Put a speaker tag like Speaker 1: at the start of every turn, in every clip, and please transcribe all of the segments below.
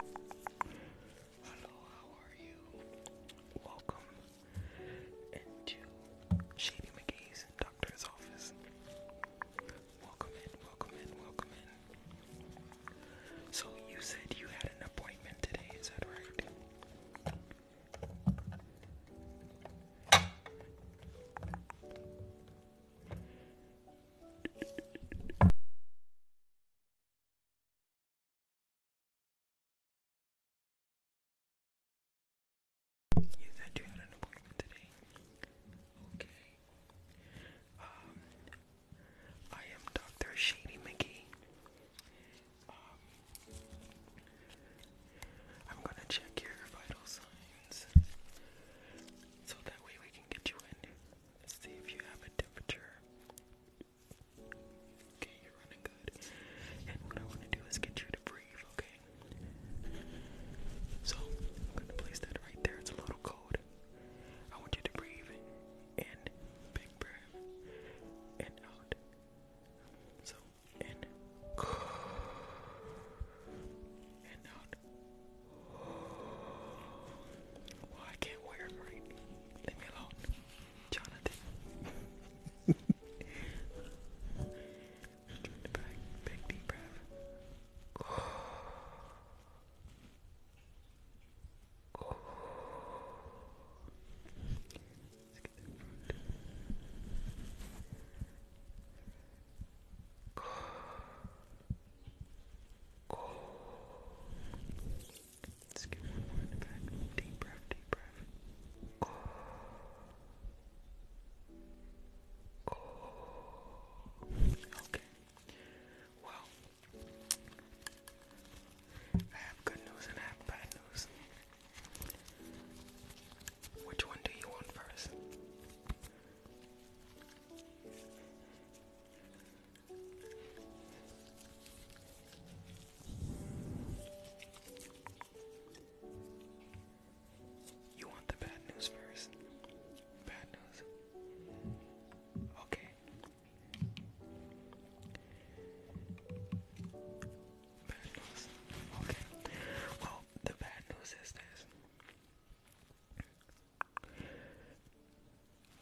Speaker 1: Hello, how are you? Welcome into Shady McGee's doctor's office. Welcome in, welcome in, welcome in. So, you said you had an appointment today, is that right? You said you an appointment today. Okay. Um, I am Dr. Shady McGee. Um, I'm gonna check your vital signs so that way we can get you in see if you have a temperature. Okay, you're running good. And what I want to do is get you to breathe, okay? So, I'm going to place that right there. It's a little cold. I want you to breathe in, big breath, and out. So, in, and out. Well, I can't wear them right. Leave me alone, Jonathan. Big deep breath. Let's get one more in the back. Deep breath, deep breath. Okay. Well, I have good news and I have bad news. Which one do you want first? You want the bad news first? Bad news. Okay. Bad news. Okay. Well, the bad news is this.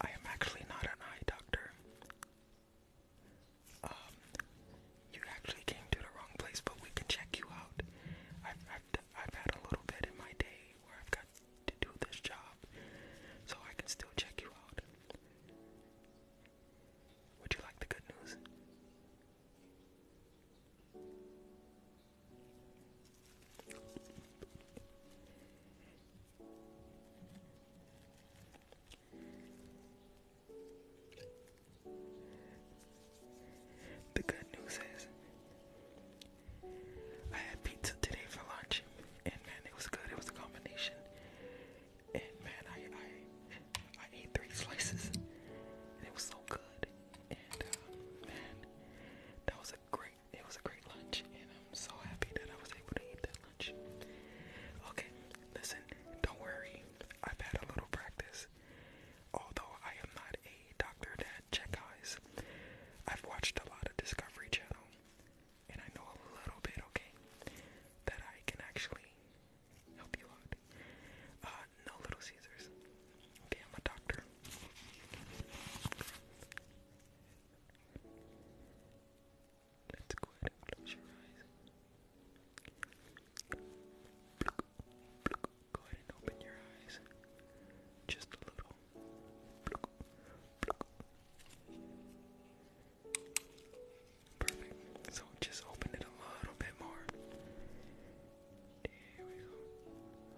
Speaker 1: I am actually not an eye doctor. Um, you actually came to the wrong place, but we can check you out. I've, I've, had a little bit in my day where I've got to do this job, so I can still check you out. Would you like the good news? The good news is, I had pizza today for lunch, and man, it was good. It was a combination, and man, I I, ate three slices, and it was so good. And uh, man, that was a great it was a great lunch and I'm so happy that I was able to eat that lunch. Okay, listen, don't worry. I've had a little practice. Although I am not a doctor that check eyes, I've watched a lot of Discovery Channel and I know a little bit, okay, that I can actually help you out. Uh, no little Caesars. Okay, I'm a doctor. Let's go ahead and close your eyes. Go ahead and open your eyes. Just a little. Perfect. So just open it a little bit more. There we go.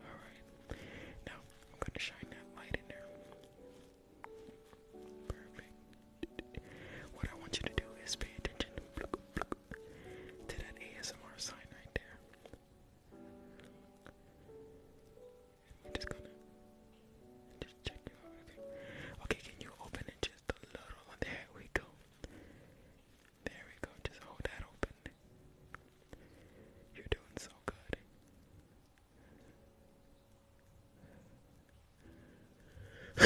Speaker 1: Alright. Now I'm going to shine that light in there. Perfect. What I want you to do is pay attention to that ASMR sign right there. just gonna just check you out. okay, can you open it just a little? There we go. There we go. Just hold that open. You're doing so good. Oh,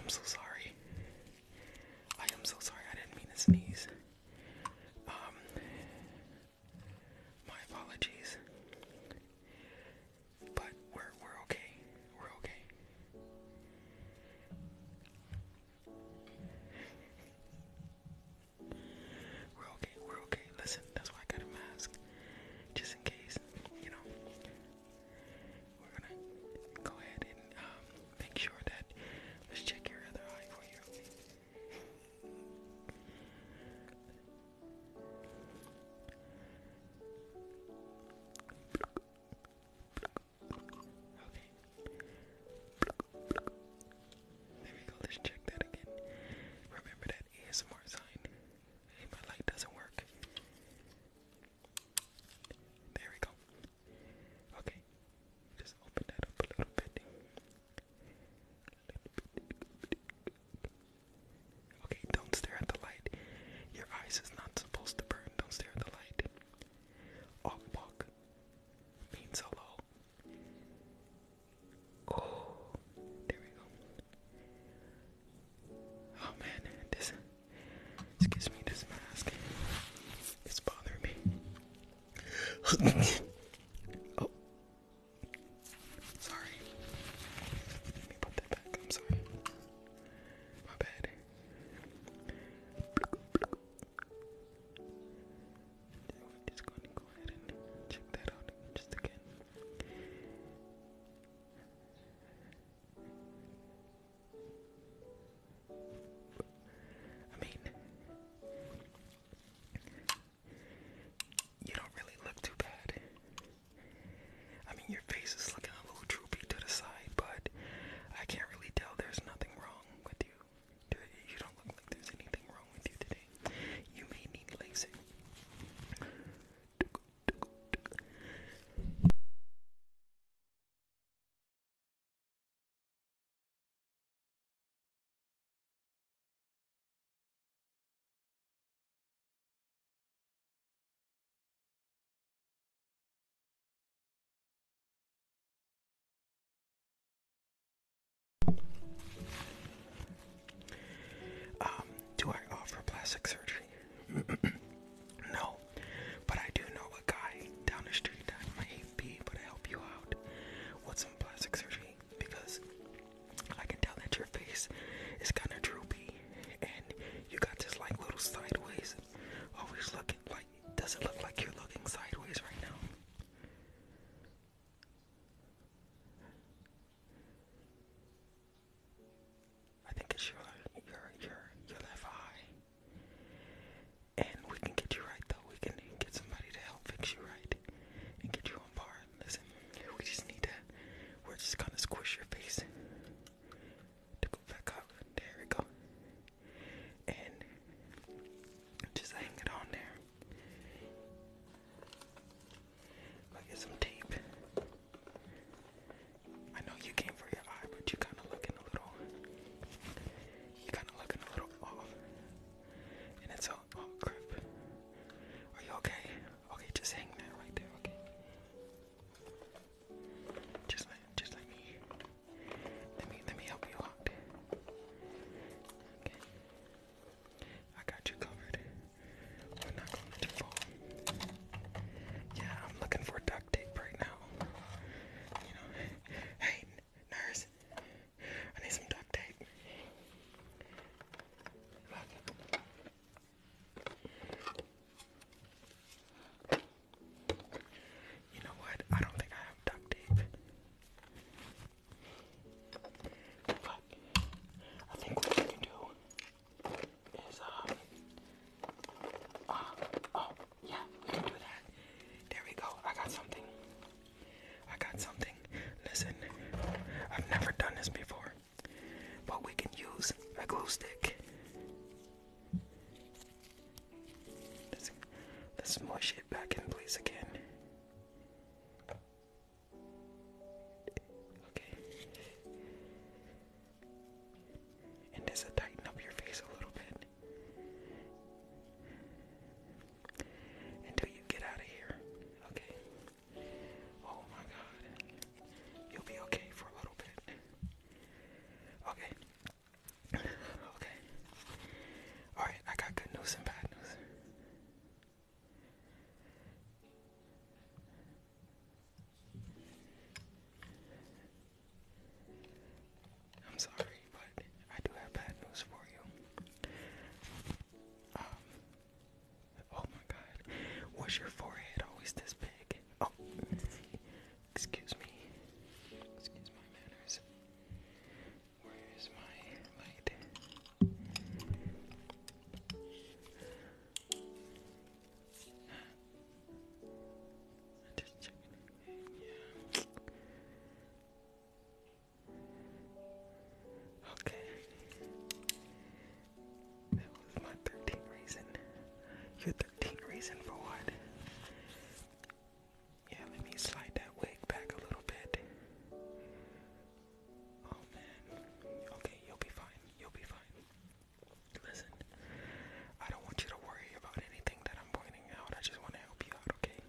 Speaker 1: I'm so sorry. I am so sorry. I didn't mean to sneeze. Um, my apologies. But we're we're okay. We're okay. We're okay, we're okay. Listen, that's why I got a mask. Just in case, you know. We're gonna go ahead and um, make sure that let's check your other eye for you. Okay. There we go, let's check that again. Remember that ASMR sign. my light doesn't work. There we go. Okay, just open that up a little bit. Okay, don't stare at the light. Your eyes is not supposed to burn. Don't stare at the light. Off walk means hello. Oh, there we go. Oh man, this, this me this mask. It's bothering me. oh, sorry. Let me put that back. I'm sorry. My bad. I'm just going to go ahead and check that out just again. I mean, you don't really look too bad. I mean, your face is looking a little droopy to the side, but I can't really tell there's nothing wrong with you. You don't
Speaker 2: look like there's anything wrong with you today. You may need LASIK. Um, do I offer plastic
Speaker 1: surgery? no, but I do know a guy down the street that might be able to help you out with some plastic surgery because I can tell that your face is kind of droopy and you got this like little sideways, always looking like doesn't look like you're looking sideways right now. I think it's your your your your left eye. And we can get you right though. We can get somebody to help fix you right and get you on par. Listen, we just need to we're just gonna squish your face to go back up. There we go. And just hang it on there. Look at some tape. I know you came for your eye, but you kind of looking a little. You kind of looking a little off. And it's all, oh crap. Are you okay? Okay, just hang that right there, okay? Just let, just let me, let me, let me help you out. Okay. I got you covered. We're not gonna let Yeah, I'm looking for duct tape right now. hey, nurse, I need some duct tape. You know what? I don't think I have duct tape. I think what we can do is, uh, uh, oh, yeah, we can do that. There we go. I got something. I got something. Listen, I've never done this before, but we can use a glue stick. Let's, let it back in place again. Okay. And does it tighten up your face a little bit? Until you get out of here. Okay. Oh my god. You'll be okay for a little bit. Okay. okay. Alright, I got good news and bad news. I'm sorry, but I do have bad news for you. Um, oh my god, was your forehead always this big? Oh,
Speaker 3: excuse me. Excuse my manners. Where is my light?
Speaker 1: just checking. Yeah. Okay. That was my 13th reason. Your 13th reason for what? Yeah, let me slide that wig back a little bit. Oh, okay, you'll be fine. You'll be fine. Listen, I don't want you to worry about anything that I'm pointing out. I just want to help you out, okay?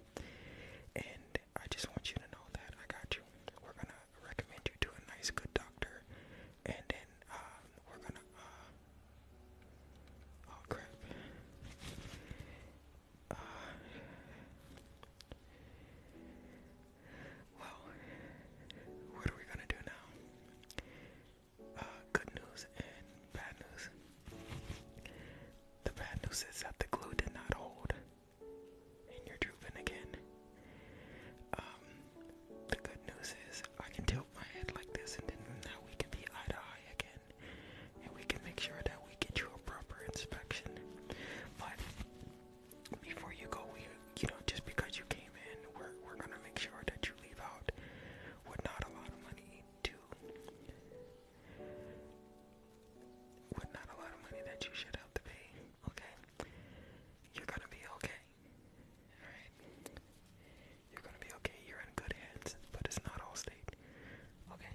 Speaker 1: And I just want you to know that I got you. We're gonna recommend you to a nice, good doctor, and then um, we're gonna. Uh, oh crap! well, what are we gonna do now? Uh, good news and bad news. The bad news is that the glue did not hold, and you're drooping again. Um, the good news is I can tilt my head like this, and then now we can be eye to eye again, and we can make sure that we get you a proper inspection. But before you go, you know, just because you came in, we're we're gonna make sure that you leave out with not a lot of money to with not a lot of money that you should have to pay. Okay, you're gonna be okay. All right, you're gonna be okay. You're in good hands, but it's not all state. Okay.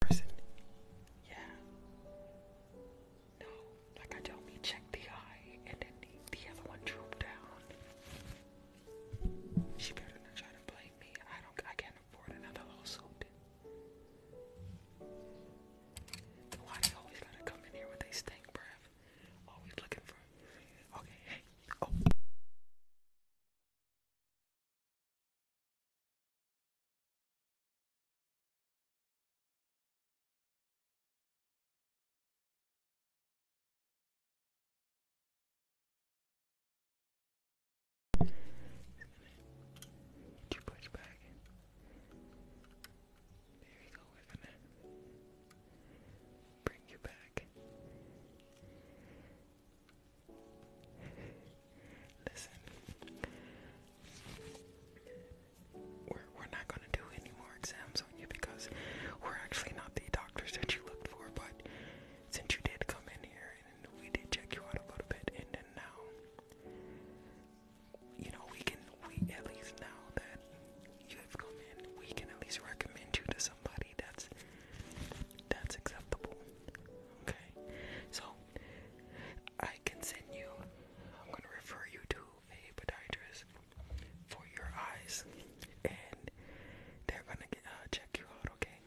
Speaker 1: person. Yeah. No, like I told me, check the eye and then the, the other one droop down. She better not try to blame me. I don't I can't afford another lawsuit. Why they always gotta come in here with a stink breath? Always looking for. Okay, hey. Oh. There you we're not gonna do any more exams on you because we're actually not the doctors that you looked for, but since you did come in here and we did check you out a little bit, and now, you know, we can, we at least know that you have come in, we can at least recommend you to somebody that's that's acceptable. Okay, so I can send you. I'm gonna refer you to a podiatrist for your eyes, and they're gonna uh, check you out. Okay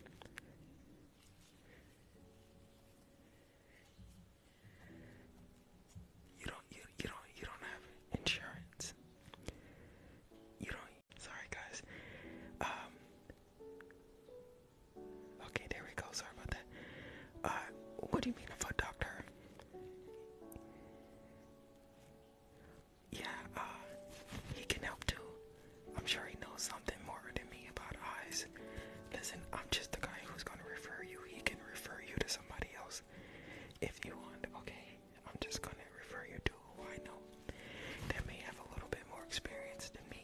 Speaker 1: you don't you, don't you don't have insurance. You don't sorry guys. Um, okay, there we go. Sorry about that. Uh, what do you mean a foot doctor? Yeah, uh, he can help too. I'm sure he knows something more than me about eyes. Listen, I'm just the guy who's gonna refer you. He can refer you to somebody else if you want, okay? I'm just going to refer you to who I know that may have a little bit more experience than me.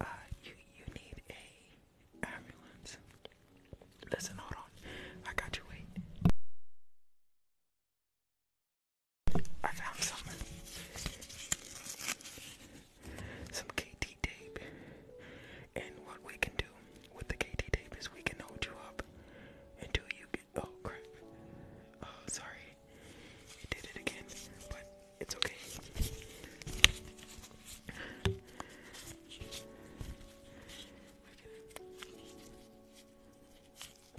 Speaker 1: Uh, you you need a ambulance. Listen, hold on. I got you. Wait. I found something. Some KT tape. And what we can do with the KT tape is we can hold you up until you get. Oh crap. Oh, sorry. It did it again, but it's okay.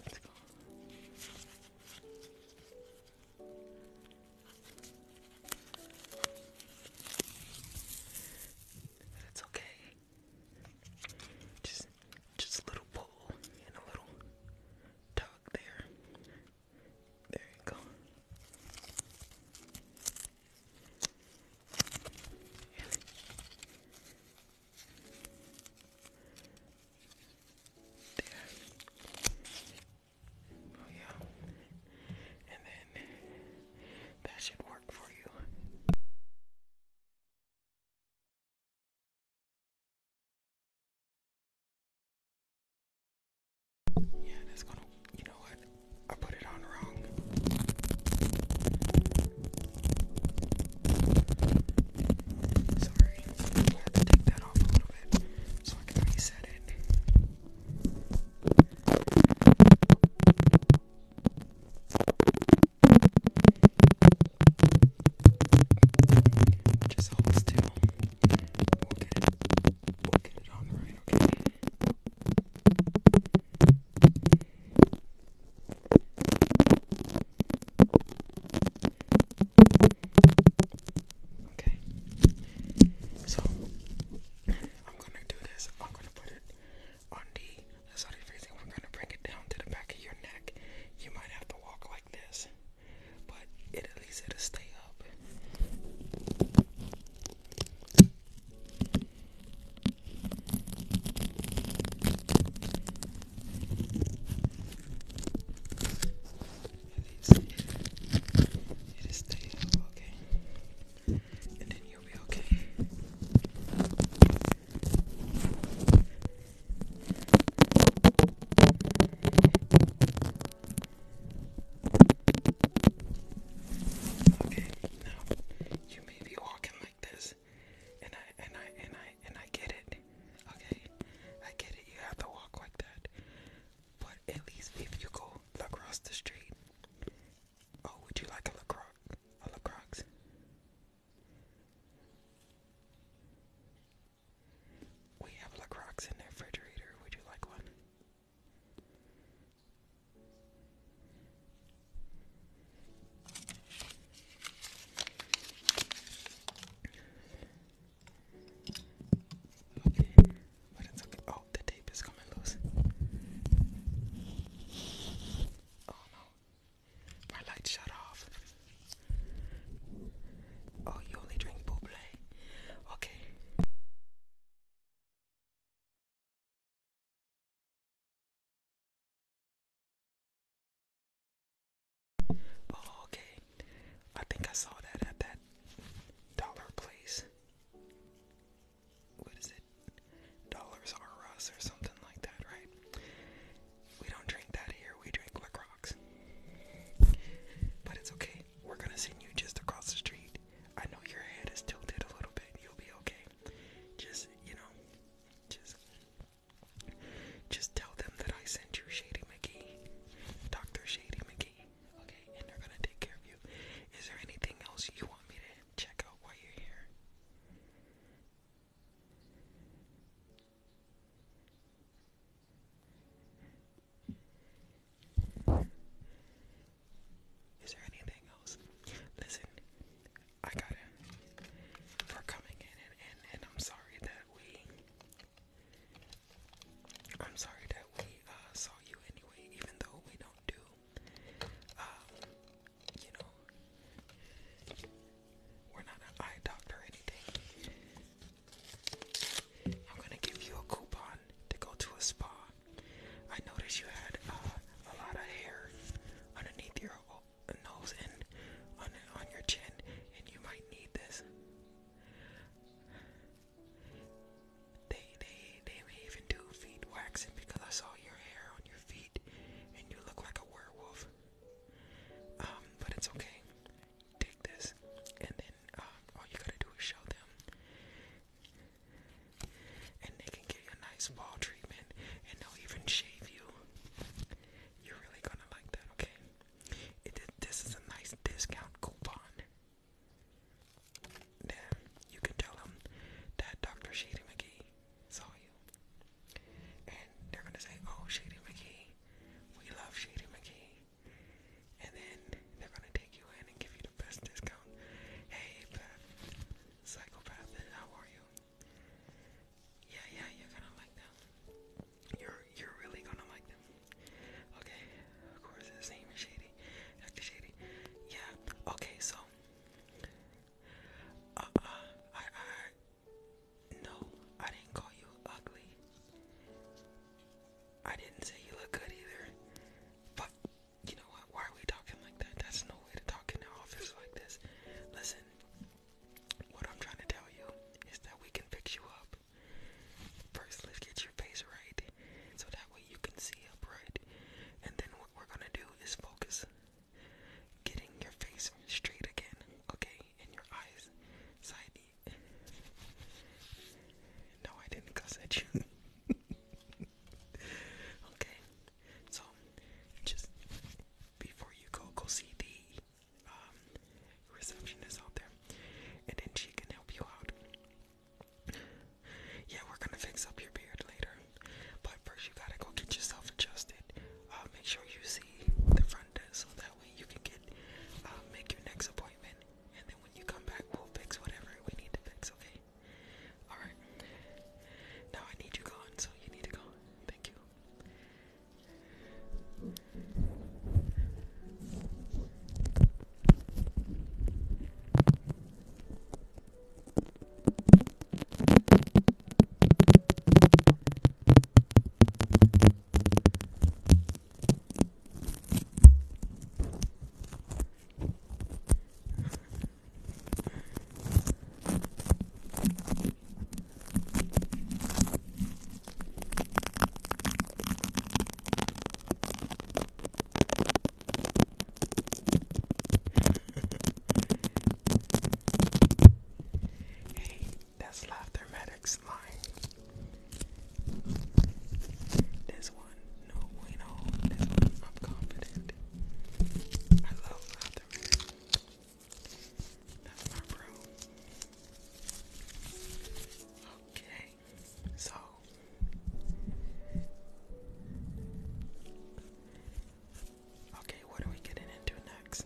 Speaker 1: Let's go. It's okay. Just just little pull and a little tug there. There you go. There. Oh yeah. And then that should work for you. Yeah, that's gonna, you know what? I put it on wrong. Sorry, I'm gonna have to take that off a little bit so I can reset it. Just hold still we We'll get it on right, okay? Okay. So I'm gonna do this. I'm gonna put it on the side of your face we're gonna bring it down to the back of your neck. You might have to walk like this but it at least it'll stay up. it'll stay up, okay? And then you'll be okay. Okay, now you may be walking like this, and I and I and I and I get it. Okay, I get it. You have to walk like that, but at least if you go across the street, oh, would you like a lacroix? A lacroix? We have Lacroix in the refrigerator. Would you like one? okay. Oh, the tape is coming loose. Oh no, my
Speaker 3: light shut off. Oh, you only drink buble. Okay.
Speaker 2: Oh, okay. I think I saw that at that dollar place.
Speaker 1: What is it? Dollars R Us or something like that, right? We don't drink that here. We drink LaCroix. But it's okay. We're gonna send you just across the street. I know your head is tilted a little bit. You'll be okay. Just, you know, just just tell them that I sent you Shady McKee, Dr. Shady McKee. Okay, and they're gonna take care of you. Is there anything else you want me to check out while you're here? Is there anything else? Listen, I got it. we coming in, and, and, I'm sorry that we. I'm sorry that we uh, saw you anyway, even though we don't do. Um, you know, we're not an eye doctor or anything. I'm gonna give you a coupon to go to a spa. I noticed you had uh, a lot of hair underneath your nose and on on your chin, and you might need this. They they they even do feet waxing because I saw your hair on your feet, and you look like a werewolf. Um, but it's okay take this, and then um, all you gotta do is show them, and they can give you a nice ball treatment, and they'll even shave you. You're really gonna like that, okay? this is a nice discount coupon. Then you can tell them that Dr. Shady McGee saw you, and they're gonna say, "Oh, Shady McGee, we love Shady McGee." Hey, psychopath, how are you? Yeah, yeah, you're gonna like them. You're you're really gonna like them. Okay, of course, his name is Shady, Dr. Shady. Yeah. Okay, so. Uh, uh, I, I, no, I didn't call you ugly. I didn't say you look good either. But you know what? Why are we talking like that? That's no way to talk in the office like this. Listen, what I'm trying to tell you is that we can fix you up. First, let's get your face right so that way you can see up And then what we're gonna do is focus getting your face straight again, okay? And your eyes side no, I didn't cuss at you. okay, so just before you go, go see the um, receptionist out there, and then she can help you out. Yeah, we're gonna fix up your beard later, but first you gotta go get yourself adjusted. Uh, make sure you see the front desk so that way you can get uh, make your next appointment. And then when you come back, we'll fix whatever we need to fix, okay? Alright. Now I need you gone, so you need to go. Thank you hey, that's laughter, man next line. This one, no bueno. This one, I'm confident. I love Rotherman. That's my bro. Okay, so okay, what are we getting into next?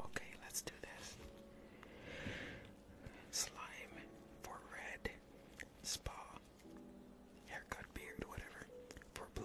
Speaker 2: Okay, let's do this. Slime for red, spa,
Speaker 1: haircut, beard, whatever, for blue.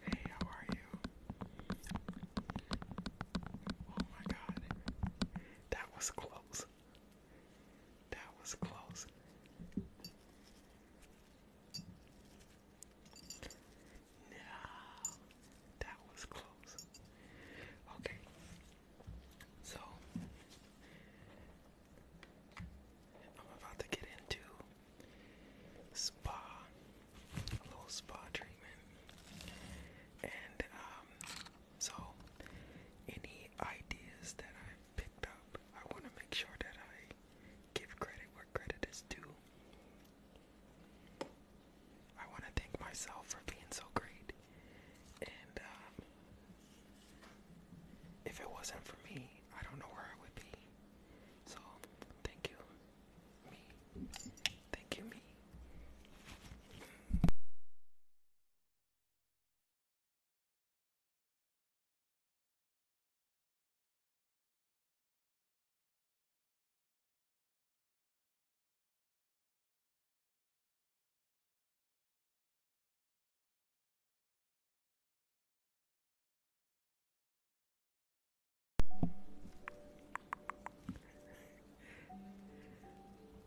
Speaker 1: Hey, how are you? Oh my god. That was close. That was close. No, that was close. Okay, so I'm about to get into spa, a little spa treatment, and um, so any ideas that I picked up, I want to make sure that I give credit where credit is due. I want to thank myself for being so great, and um, if it wasn't for me, I don't know where I would be. So, thank you. Thank you, me.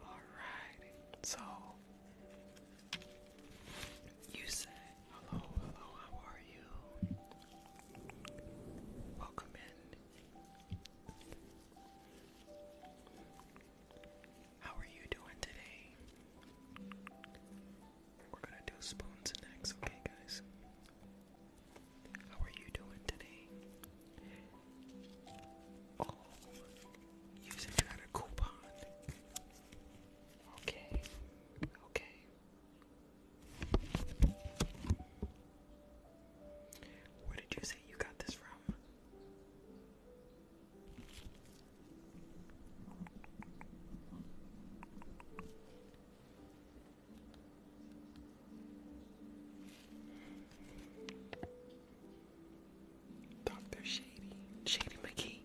Speaker 1: Alright, so you say hello, hello, how are you? Welcome
Speaker 3: in. How are
Speaker 1: you doing today? We're gonna do spoons next, okay, guys? How are you doing today? Oh, using a coupon. Okay, okay. Where did you say you got this from? Dr. Shady, Shady McKee.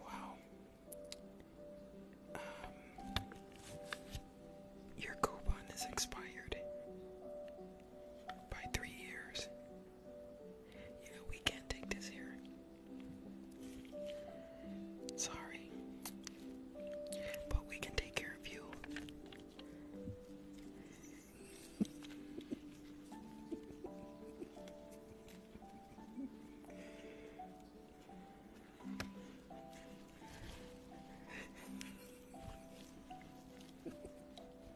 Speaker 1: Wow. Um, your coupon is expired by three years. Yeah, we can't take this here. Sorry. But we can take care of you.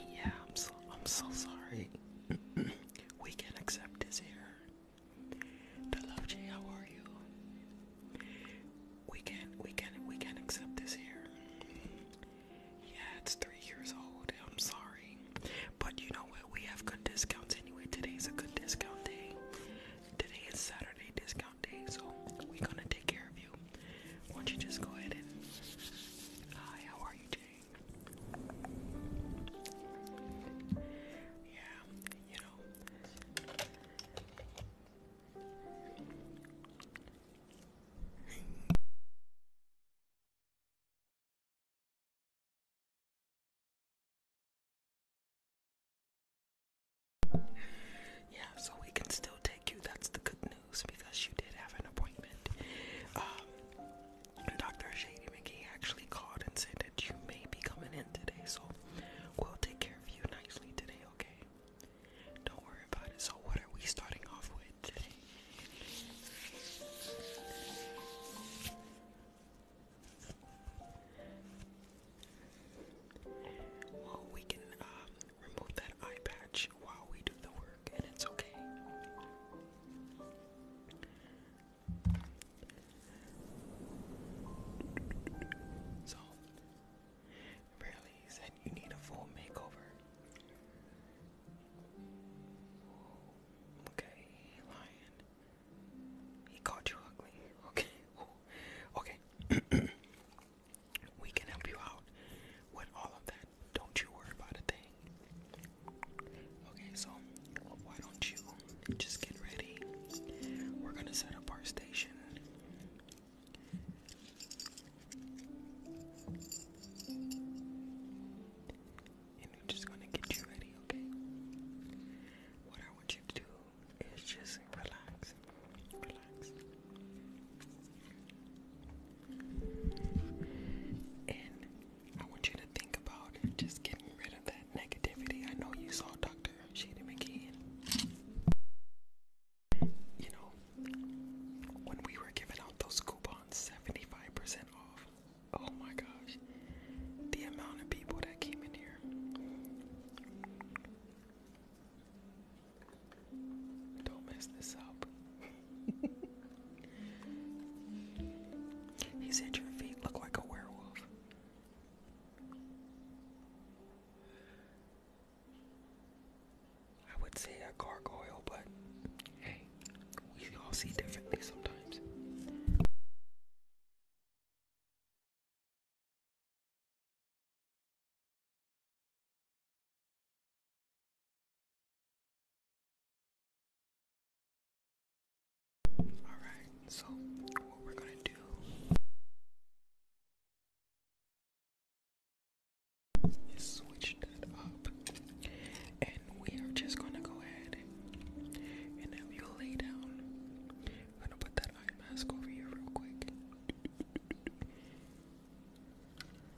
Speaker 2: Yeah, I'm so sorry. we can accept this here.
Speaker 3: The how
Speaker 1: are you? We can we can we can accept this here. Yeah, it's three years old. I'm sorry. But you know what? We have good discounts anyway. Today's a good discount day. Today is Saturday discount day, so we're gonna take care of why don't you just go ahead and hi, how are you, Jane? Yeah, you know.
Speaker 2: yeah, so we can still take you. That's the good news because you did
Speaker 1: have an appointment. Um, Dr. Shady McGee actually called and said that you may be coming in today, so we'll take care of you nicely today, okay? Don't worry about it. So, what are we starting off with today? Well, we can um, remove that eye patch while we do the work, and it's okay. So, Barely said you need a full makeover. Okay, lion. He called you ugly. Okay. Okay. We can help you out with all of that. Don't you worry about a thing. Okay, so why don't you just get ready? We're gonna set up our station. And I'm just gonna get you ready, okay? What I want you to do is just Relax. And I want you to think about just getting rid of that negativity. I know you saw Dr. Shady McKeon. You know, when we were giving out those coupons, 75% off. Oh my gosh. The amount of people that came in here. Don't mess this up. he your feet look like a werewolf. I would say a gargoyle, but hey, we all see differently sometimes.
Speaker 2: Alright, so what we're gonna do is switch that up and we are just gonna go ahead
Speaker 1: and have you lay down. I'm gonna put that eye mask over here real quick.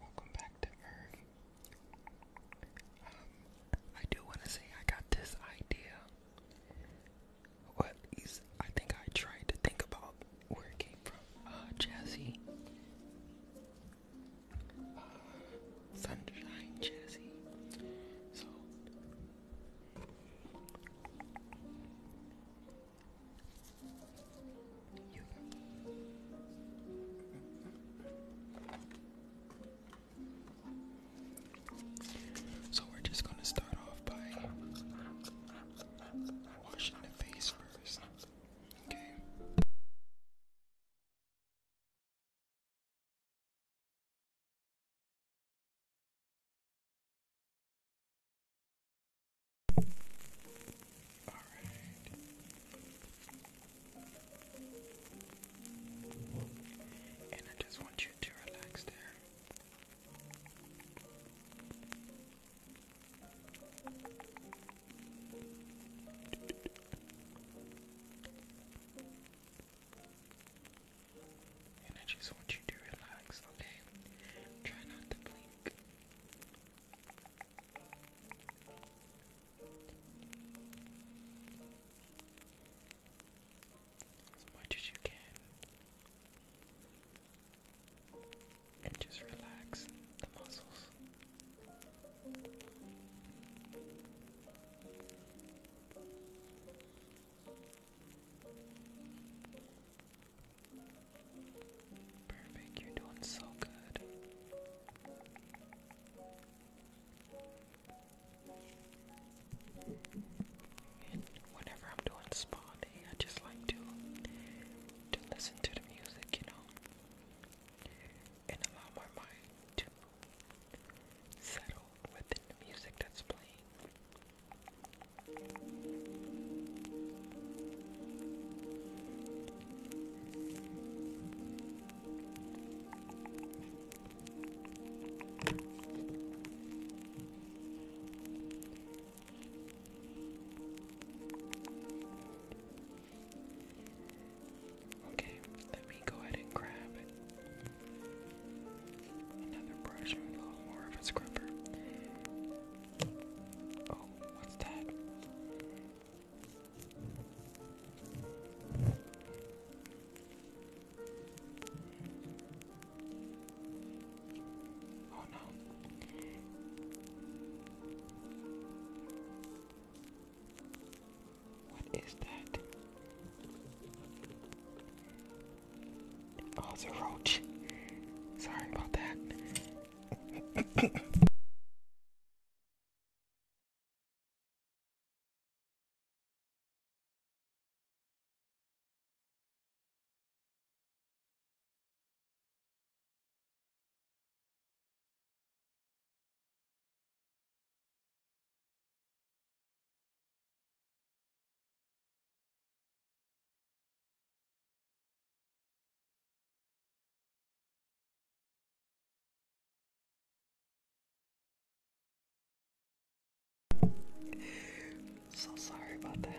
Speaker 1: Welcome back to Earth. Um, I do want to say I got this idea. Well, I think I tried to think about where it came from. Ah, Jazzy. Ah, Sunshine Jazzy. So we're just going to start off by washing the face Okay. All right. And I just want you to relax there. And I just want you to relax, okay? Try not to blink. As much as you can and just relax the muscles. Perfect, you're doing so good. whenever I'm doing spa I just like to to listen to the music, you know, and allow my mind to settle within the music that's playing. Okay, let me go ahead and grab another brush a little more of a scrubber. Oh, what's that? Oh, what is that? Oh, it's a roach. Sorry about
Speaker 2: that. So sorry about that.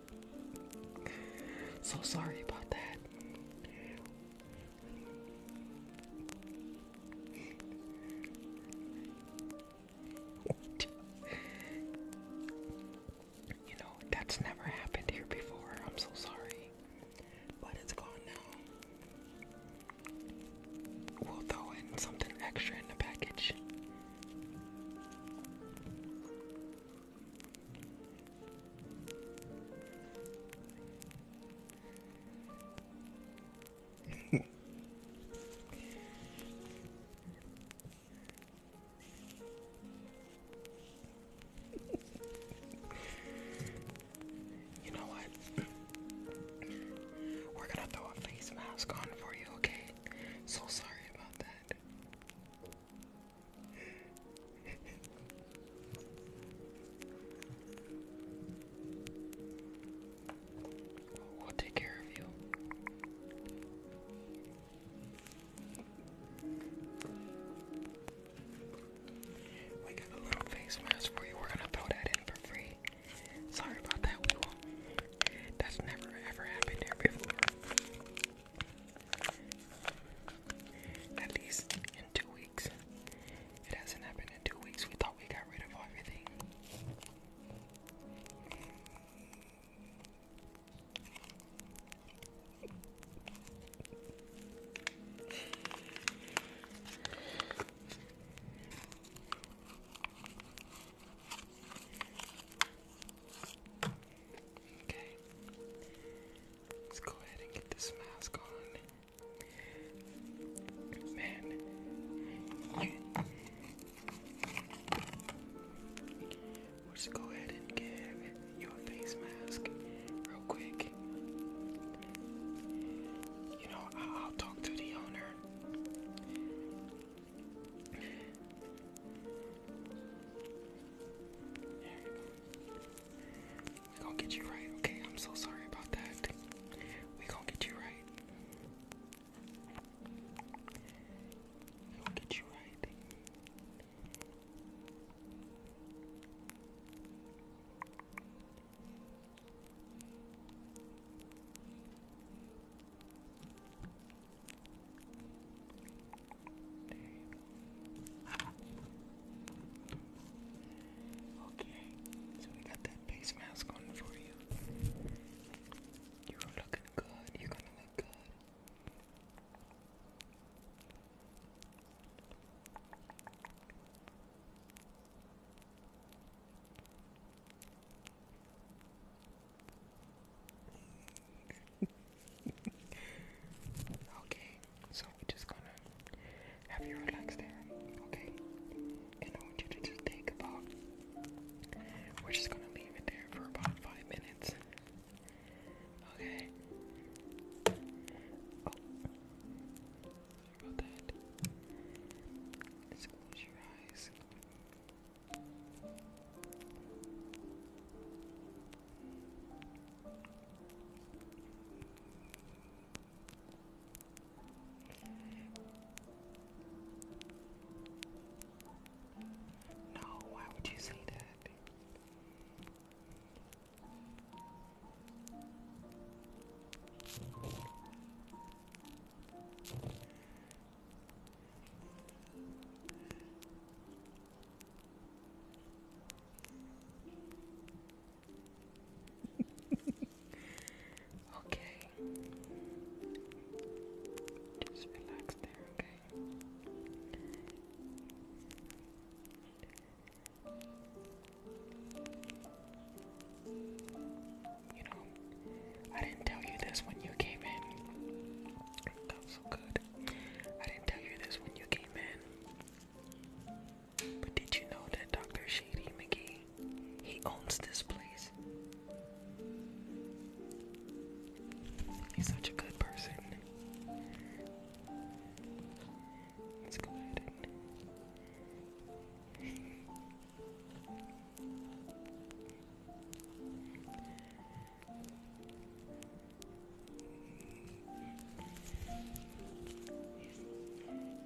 Speaker 1: So sorry about that. You know, that's never happened here before. I'm so sorry. But it's gone now. We'll throw in something extra in the package. you know what? We're gonna throw a face mask on for you, okay? So sorry about that. We'll take care of you. We got a little face mask for you. We're gonna throw that in for free. Sorry about that, That's never ever happened here before. At least in two weeks. It hasn't happened in two weeks. We thought we got rid of everything. Okay. Let's go ahead and get this mask on. Man. We'll go ahead and give you face mask real quick. You know, I'll talk to the owner we gonna get you right, okay? I'm so sorry about that. we gonna get you right. we gonna get you right. Okay, so we got that face mask on for you. You're looking good. You're gonna look good. okay, so we're just gonna have you relax there, okay? And I want you to just think about. We're just gonna leave it there for about five minutes.
Speaker 3: Okay. Oh. Sorry about that. Let's close your eyes. No, why would you say that? okay. Just relax there, okay? You know, I didn't tell
Speaker 1: you this when you came in. That was so good. I didn't tell you this when you came in. But did you know that Dr. Shady McGee, he owns this place? He's such a good person. Let's go ahead and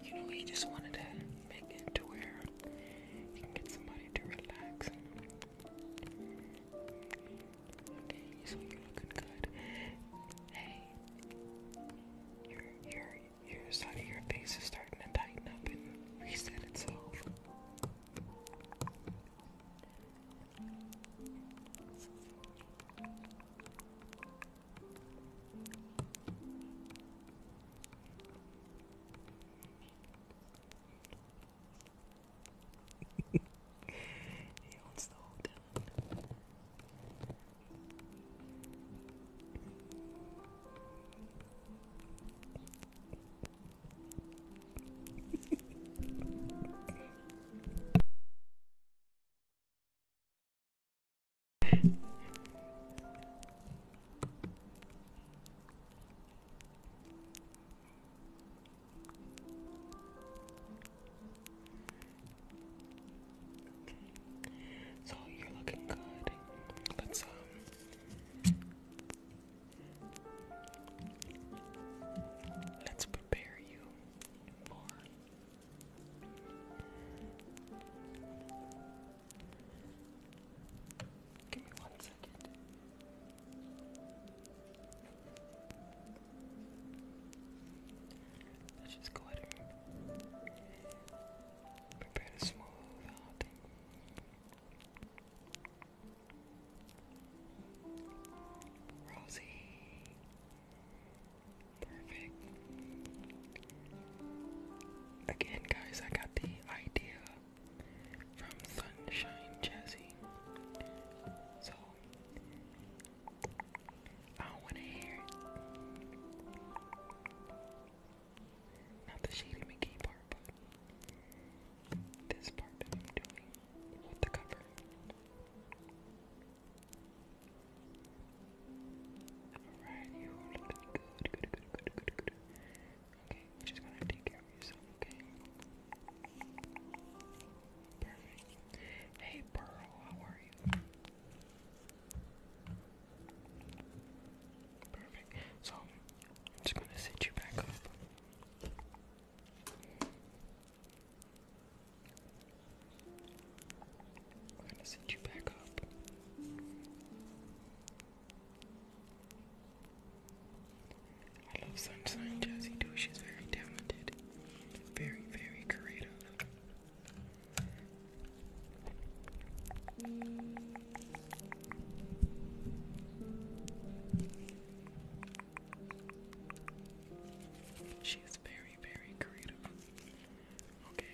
Speaker 1: you know, he just wanted to make it to where he can get somebody to relax. Okay, so you're looking good. Hey, your your your side of your face is starting to tighten up and reset itself he wants the hotel. So you're looking good. let um, Let's prepare you more. Give me one second. Let's just go ahead and prepare to smooth out. Rosie. Perfect. Again, guys, I got the idea from Sunshine Jazzy. So, I want to hear Not the Shady McGee part, this part that I'm doing with the cover. Alright, you are looking good, good, good, good, good, good. Okay, just gotta take care of yourself, okay? Perfect. Hey, Pearl, how are you? Perfect. So, just gonna sit you back up. We're gonna send you back up. I love Sunshine Jessie too. She's very talented, very, very creative. She is very, very creative. Okay.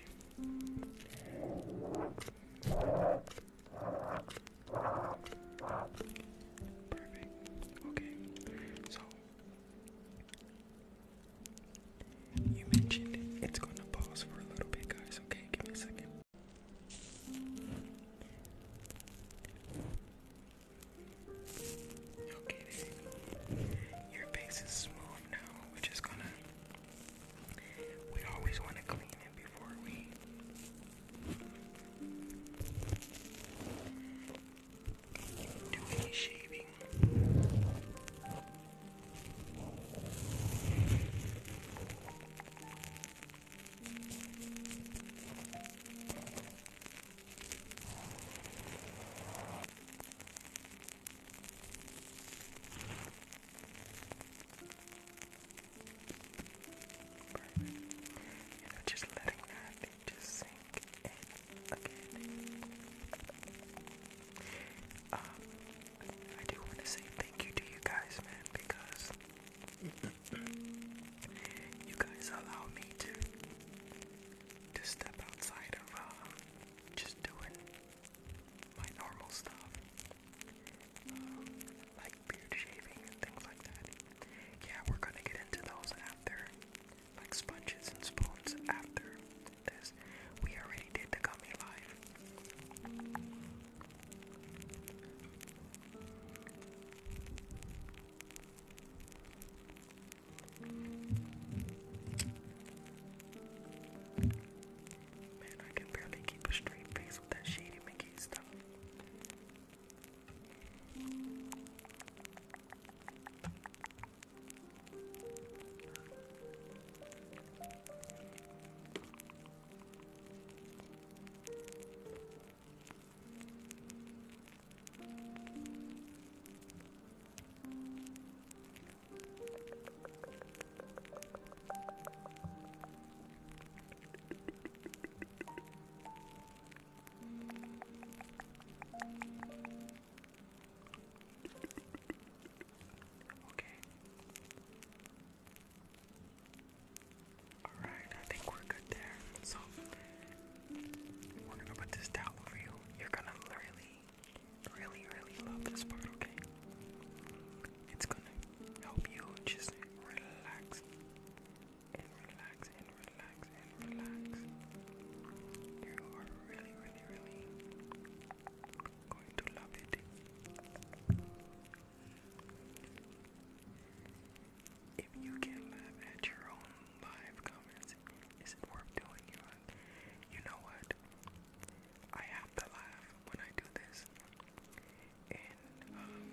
Speaker 1: Perfect. Okay. So you mentioned it's going to pause for a little bit, guys. Okay, give me a second. Okay, Your face is smooth now. We're just gonna.
Speaker 3: We always want to clean it before we. Do any shaving? Perfect. You know, just letting that just sink in again. Um, I do want to say thank you to you guys, man, because you guys allow me to to step outside of um, just doing
Speaker 1: my normal stuff, um, like beard shaving and things like that. Yeah, we're gonna get into those after, like sponges and spoons after this. We already did the gummy live. Man, I can barely keep a straight face with that shady McGee stuff. Okay. Alright, I think we're good there. So we this towel over you. You're gonna really, really, really love this part, okay? It's gonna help you just relax and relax and relax and relax. You are really, really, really going to love it. If you can laugh at your own live comments, is it worth doing? You, know what? I have to laugh when I do this, and um,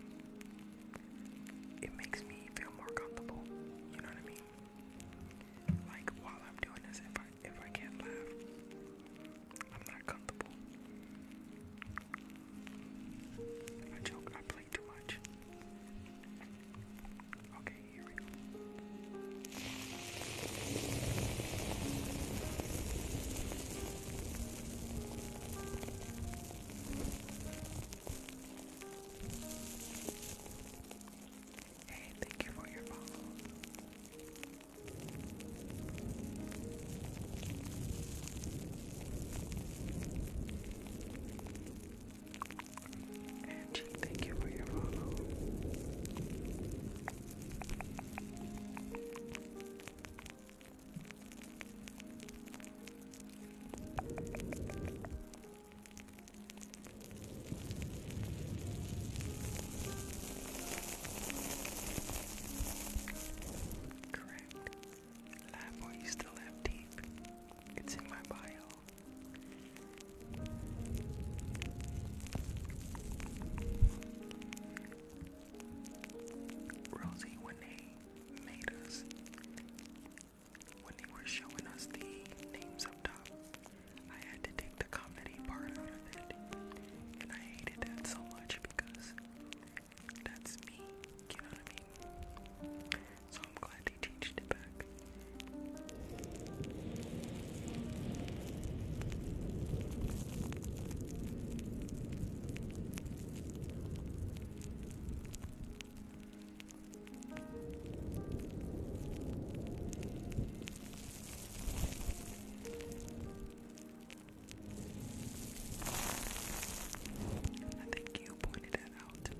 Speaker 1: it makes me feel more comfortable. You know what I mean? Like while I'm doing this, if I if I can't laugh, I'm not comfortable. I joke. I play too much. Okay, here we go. Hey, thank you for your follow thank you for your follow. Correct. Lab, or still have teeth? It's in my bio. Rosie, when they made us, when they were showing us the names up top, I had to take the comedy part out of it. And I hated that so much because that's me. You know what I mean? So I'm glad he changed it back. I think you pointed that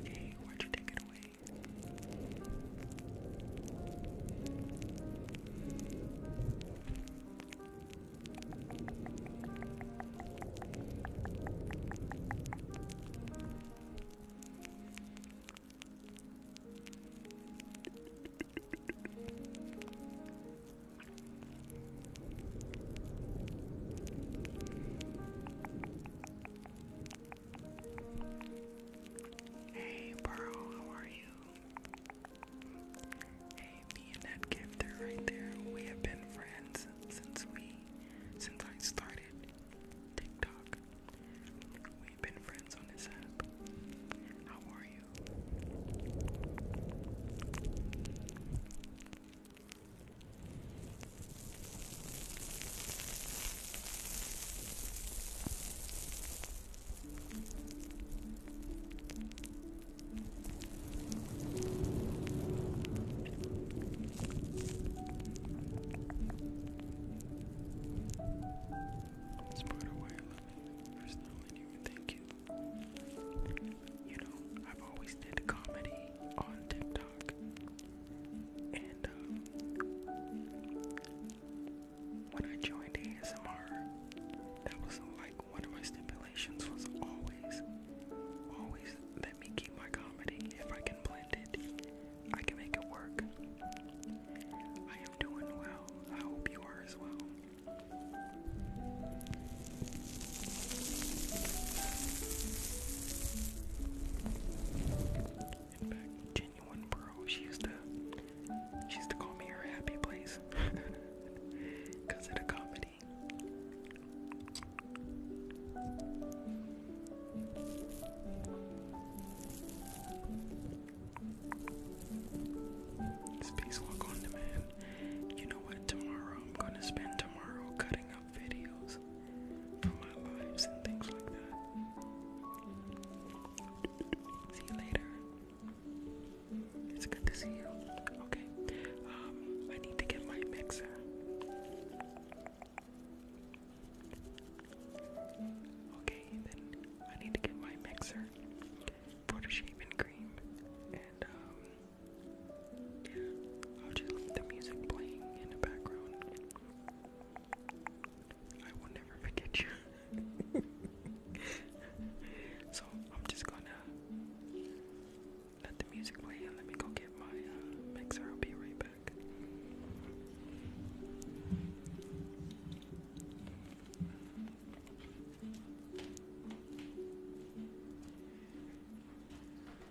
Speaker 1: Okay, why'd you take it away? Hey, Burrow, how are you? Hey, me and gifter right there, we have been friends since we, since I started TikTok. We've been friends on this app. How are you? It's part of why I love it. Personally, you thank you. You know, I've always did comedy on TikTok. And um, when I joined ASMR, that was like one of my stipulations was always, always let me keep my comedy. If I can blend it, I can make it work. I am doing well. I hope you are as well. In fact, genuine bro, she used to she used to call me her happy place. Cause of the comedy. Spacewalk on demand. You know what? Tomorrow I'm gonna spend tomorrow cutting videos from my lives and things like that. See you later. It's good to see you. Okay. Um, I need to get my mixer. Okay, then I need to get my mixer for the shaving cream and um, I'll just leave the music playing in the background. I will never forget you. so I'm just gonna let the music play and let me go get my uh, mixer. I'll be right back.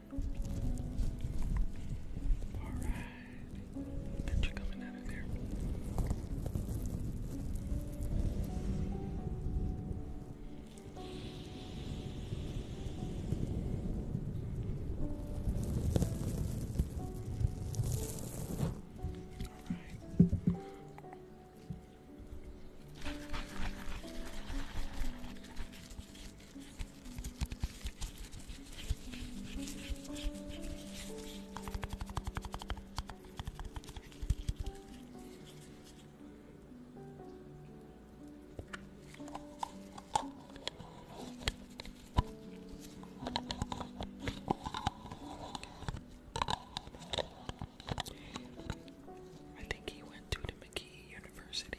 Speaker 1: Alright. And you coming out of there. Alright. I think he went to the McGee University.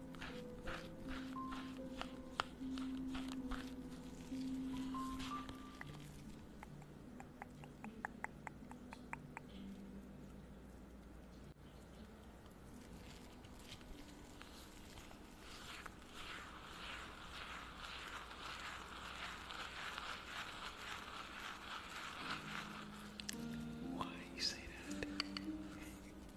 Speaker 1: Why you say that?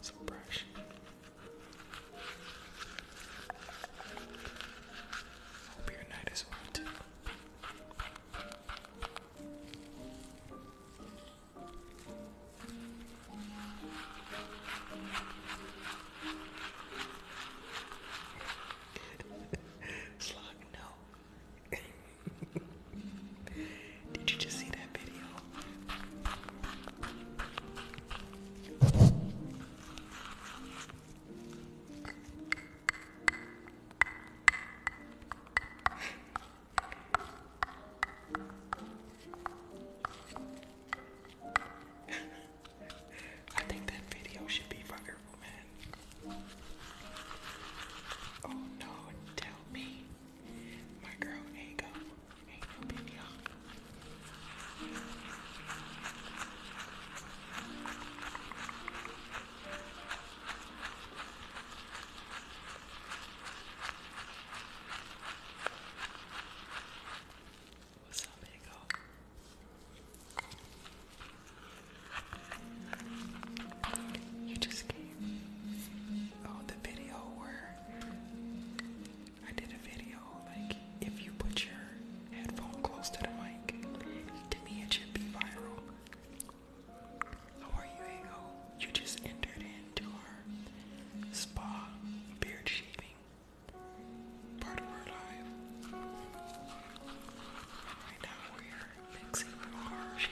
Speaker 1: Some brush. Hope your night is well too. Slug, no. Did you just see that video? I think that video should be for man. Oh no, tell me. My girl ain't go. Ain't no video. What's up, big. You just came. Oh, the video where I did a video like if you put your headphone close to the mic, to me it should be viral. How are you, Ego? You just entered into our spa
Speaker 3: beard shaving part of Right now we are mixing orange.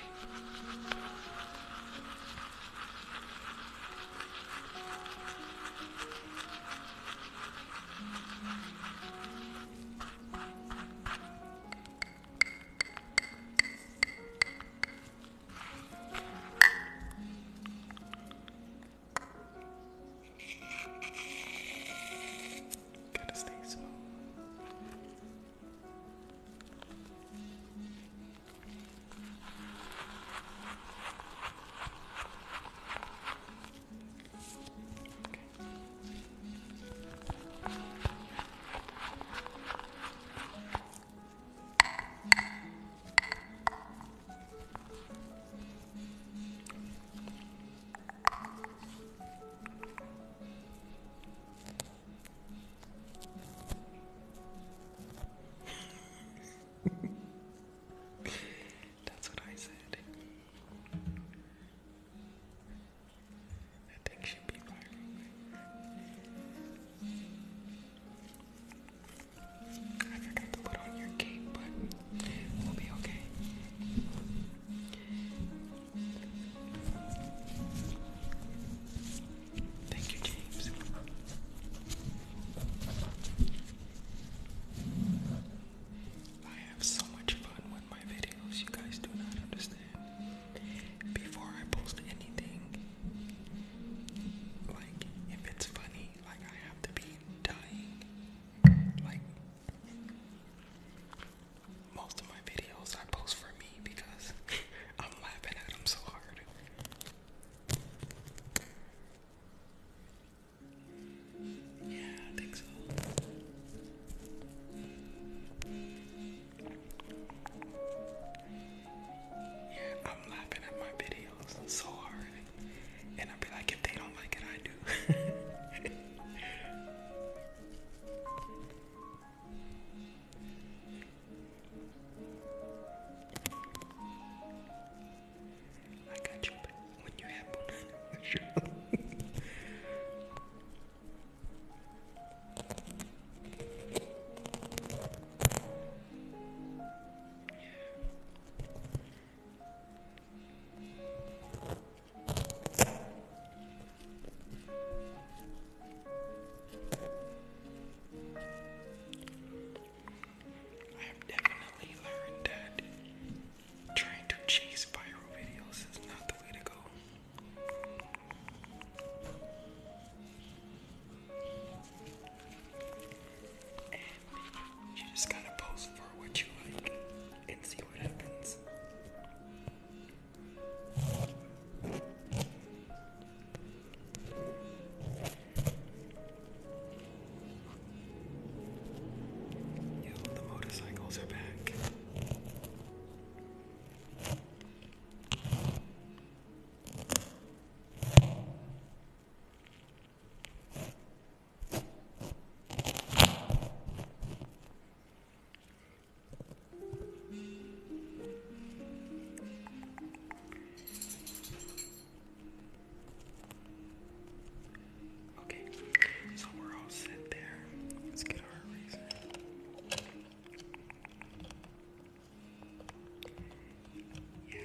Speaker 3: Gotta stay smooth. Okay.
Speaker 1: That's what I said. I think she'd be firing. I Thank you, James. I have so much fun with my videos, you guys do not understand. Before I post anything, like if it's funny, like I have to be dying. Like most of my videos I post for me because I'm laughing at them so hard. Yeah, I think so. Yeah, I'm laughing at my videos videos. so hard. And I'll be like, if they don't like it, I do. I got you when you have one. Yeah. I have definitely learned that trying to chase viral videos is not the way to go. And you just gotta post for what you like and see what happens. the motorcycles are back. Okay, so we're all set there. Let's get our yeah,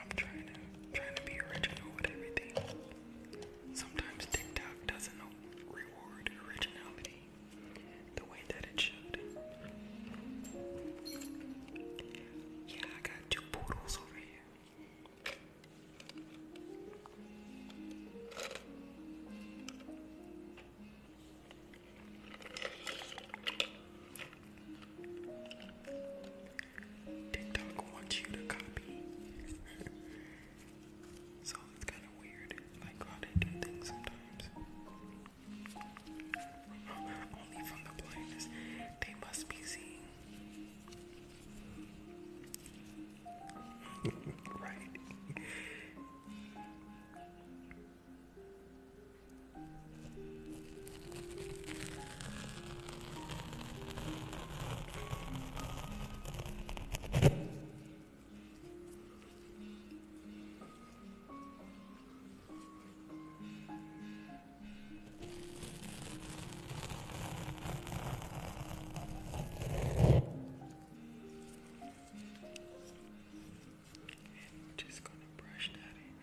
Speaker 1: I'm trying to trying to be original with everything. Sometimes TikTok doesn't reward originality the way that it should. Yeah, I got two poodles over here. TikTok wants you to copy. so it's kind of weird, like how they do things sometimes. Only from the blindness, they must be seeing. right. I'm just gonna brush that in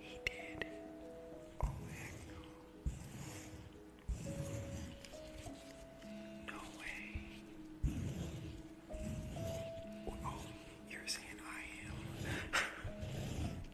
Speaker 1: He did. Oh, no. No way. Oh, you're saying I am.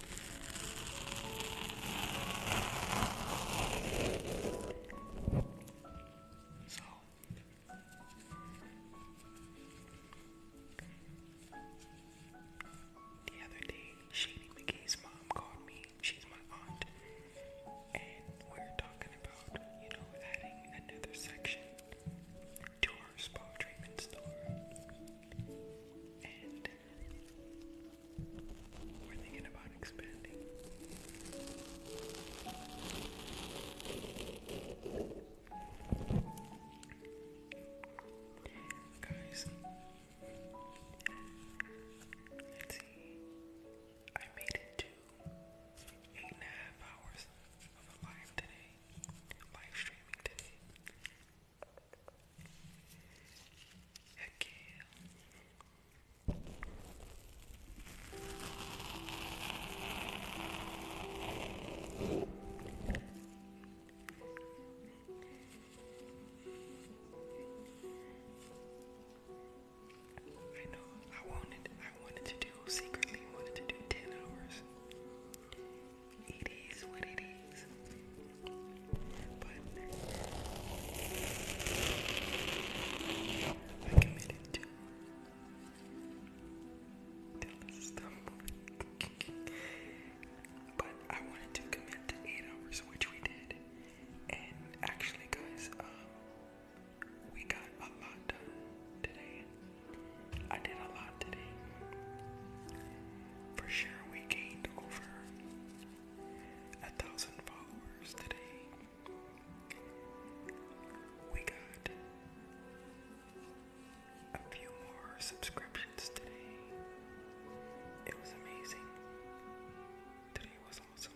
Speaker 1: So the other day, Shady McKay's mom called me. She's my aunt, and we are talking about you know adding another section to our spa treatment store. And we're thinking about expanding. Guys, I made it to eight and a half hours of live today, live streaming today. Okay. I know I wanted I wanted to do secretly wanted to do ten hours. It is what it is. But I committed to stop But I wanted to commit to eight hours, which we did. And actually guys, um, we got a lot done today. I did um, a lot today. For sure we gained over a thousand followers today. We got a few more subscriptions today. It was amazing. Today was awesome.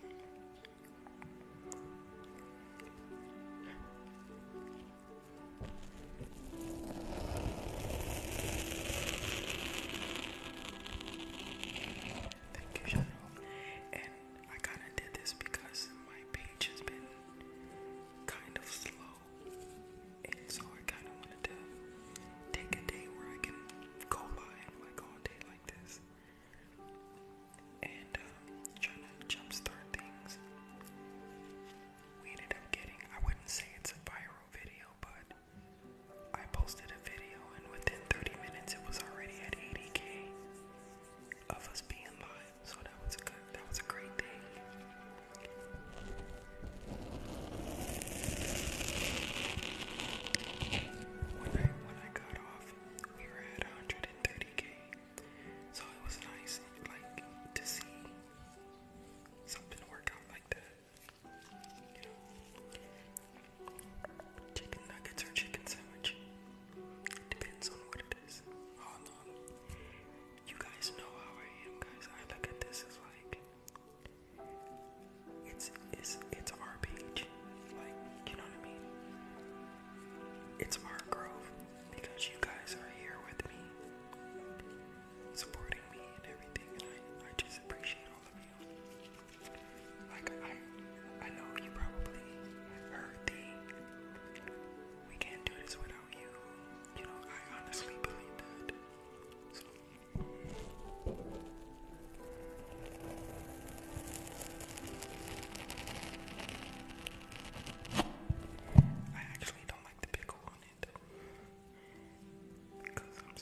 Speaker 1: Thank you, Cheryl. And I kind of did this because my page has been kind of slow, and so I kind of wanted to take a day where I can go live like all day like this, and um, to jumpstart things. We ended up getting—I wouldn't say it's a viral video, but I posted a video, and within 30 minutes, it was already at 80k of us being live. So that was a good, that was a great thing. When I when I got off, we were at 130k. So it was nice, like to see something work out like that. Chicken nuggets or chicken sandwich. Depends on what it is. Hold on. You guys know how I am, guys. I look at this as like it's it's it's our page. Like, you know what I mean? It's our growth because you guys are here with me, supporting me and everything, and I, I just appreciate all like I, I know you probably heard the "We can't do this without you." You know, I honestly believe that. So. I actually don't like the pickle on it because I'm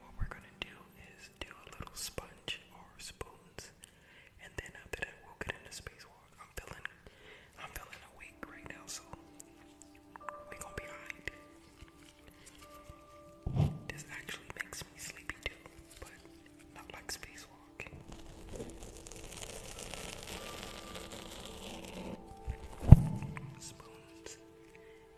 Speaker 1: What we're gonna do is do a little sponge or spoons, and then after that we'll get into spacewalk. I'm feeling, I'm feeling awake right now, so we gonna be alright. This actually makes me sleepy too, but not like spacewalk. Spoons.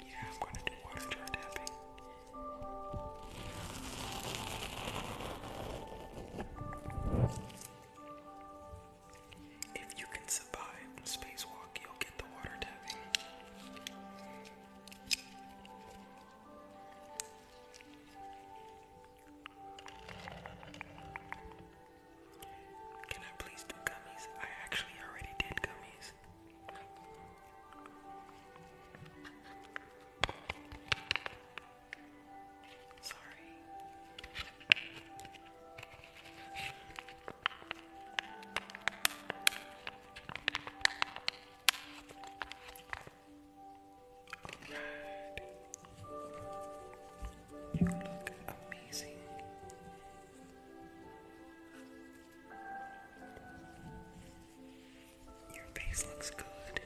Speaker 1: Yeah, I'm gonna do water jar If you can survive the spacewalk, you'll get the water tapping. Can I please do gummies? I actually already did gummies. Sorry. Alright. You look amazing. Your face looks good.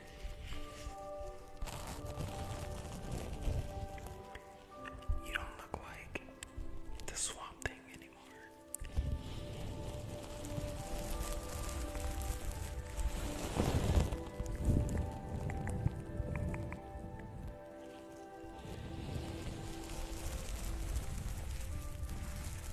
Speaker 1: You don't look like the swamp thing anymore.